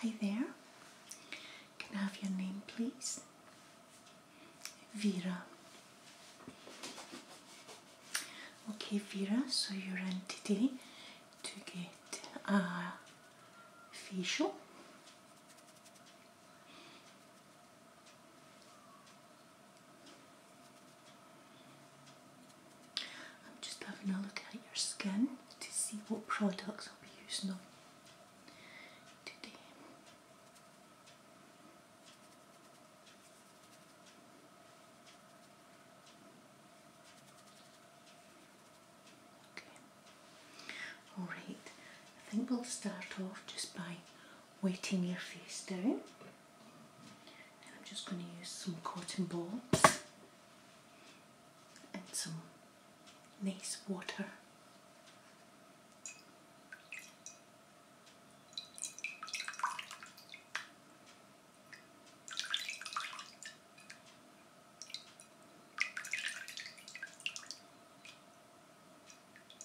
Hi there. Can I have your name, please? Vera. Okay, Vera, so you're in today to get a uh, facial I'm just having a look at your skin to see what products I'll be using on today. Okay. Alright, I think we'll start off just by wetting your face down. I'm just going to use some cotton balls and some nice water.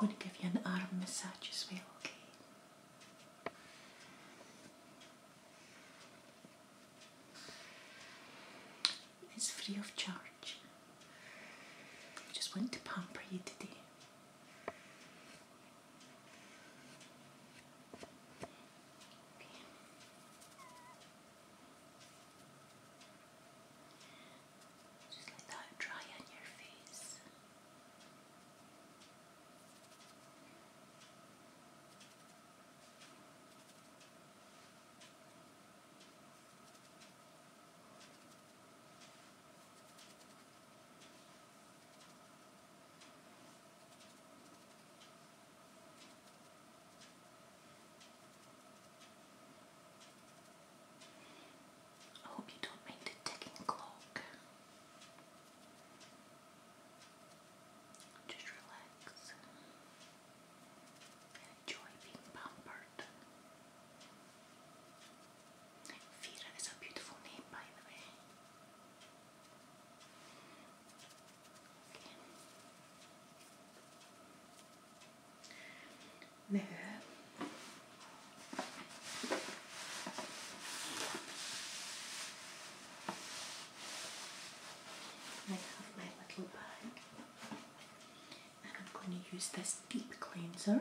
I'm going to give you an arm massage as well, okay? It's free of charge. just want to pamper you today. Just like that, dry on your face. I hope you don't mind the ticking clock. Just relax enjoy being pampered. Vera is a beautiful name, by the way. Okay. I have my little bag and I'm going to use this deep cleanser.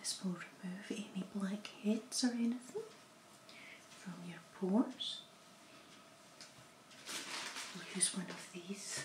This will remove any blackheads or anything from your pores. We'll use one of these.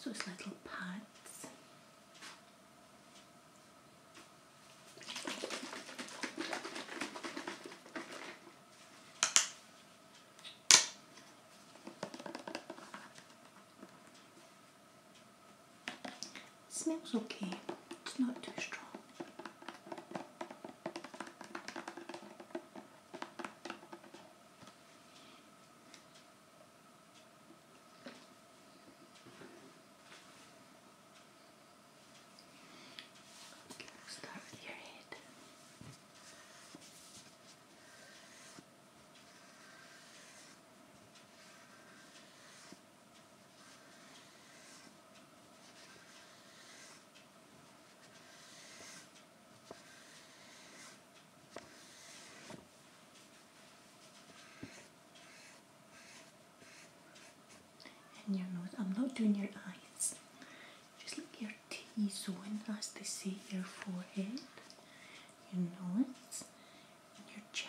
So it's little pads smells okay, it's not too strong. Okay, let's start with your head. Okay and your nose. I'm not doing your eyes. Just look your T zone, as they say, your forehead, your nose, and your chin.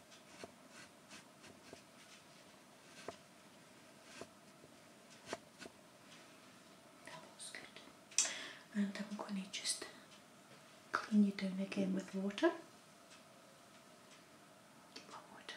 And I'm going to just clean you down again with water. Keep on water.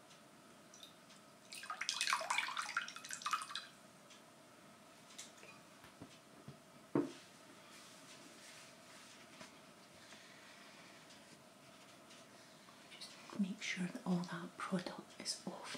Just make sure that all that product is off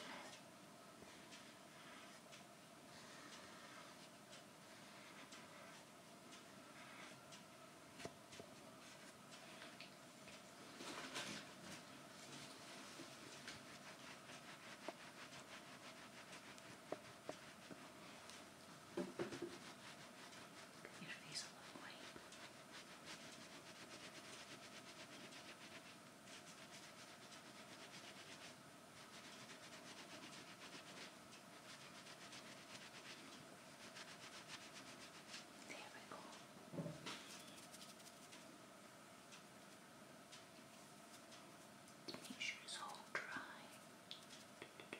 your face will look white. Good. There we go. Make sure it's all dry. There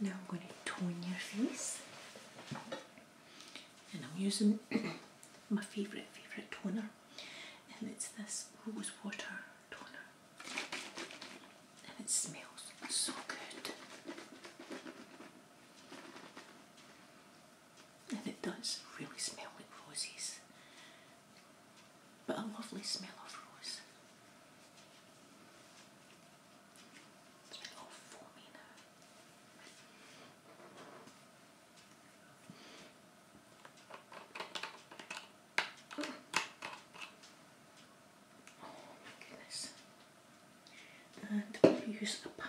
Now I'm going to tone your face, and I'm using my favourite favourite toner, and it's this rose water toner, and it smells so good, and it does really smell like roses but a lovely smell of rose. Oh. my goodness. And use a pad.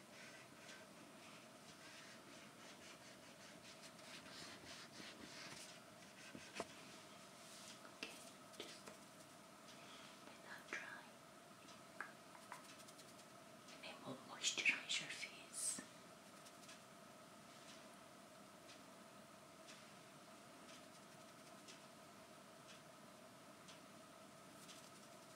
without drying. It will moisturize your face.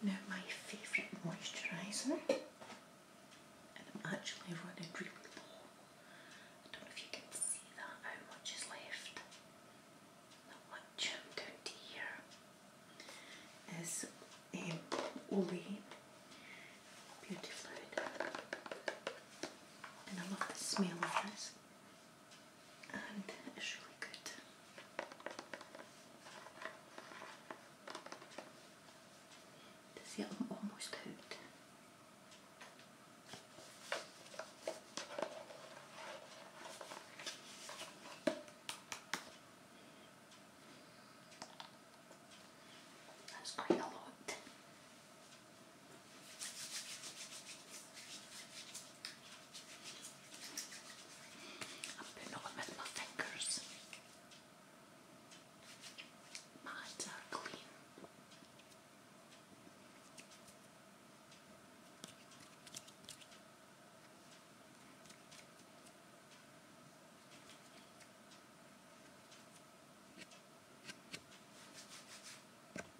Now my favourite moisturiser, and I'm actually running really low. I don't know if you can see that, how much is left. Not much, down to here. Is um, Olay Beauty Fluid. And I love the smell of this and it's really I'm almost out. That's quite a lot. I'm putting on with my fingers. My hands uh, are clean.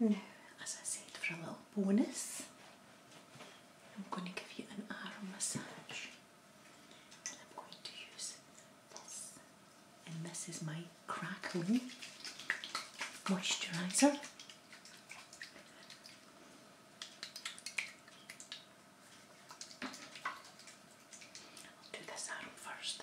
Now, as I said, for a little bonus, I'm going to give you an arm massage. And I'm going to use this. And this is my crackling moisturizer do this arm first.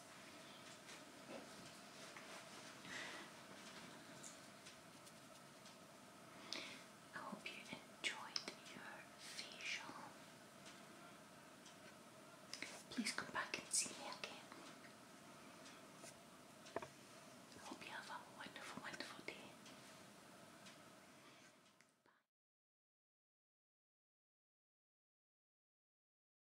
I hope you enjoyed your facial. Please come back and see me again. I hope you have a wonderful, wonderful day. Bye.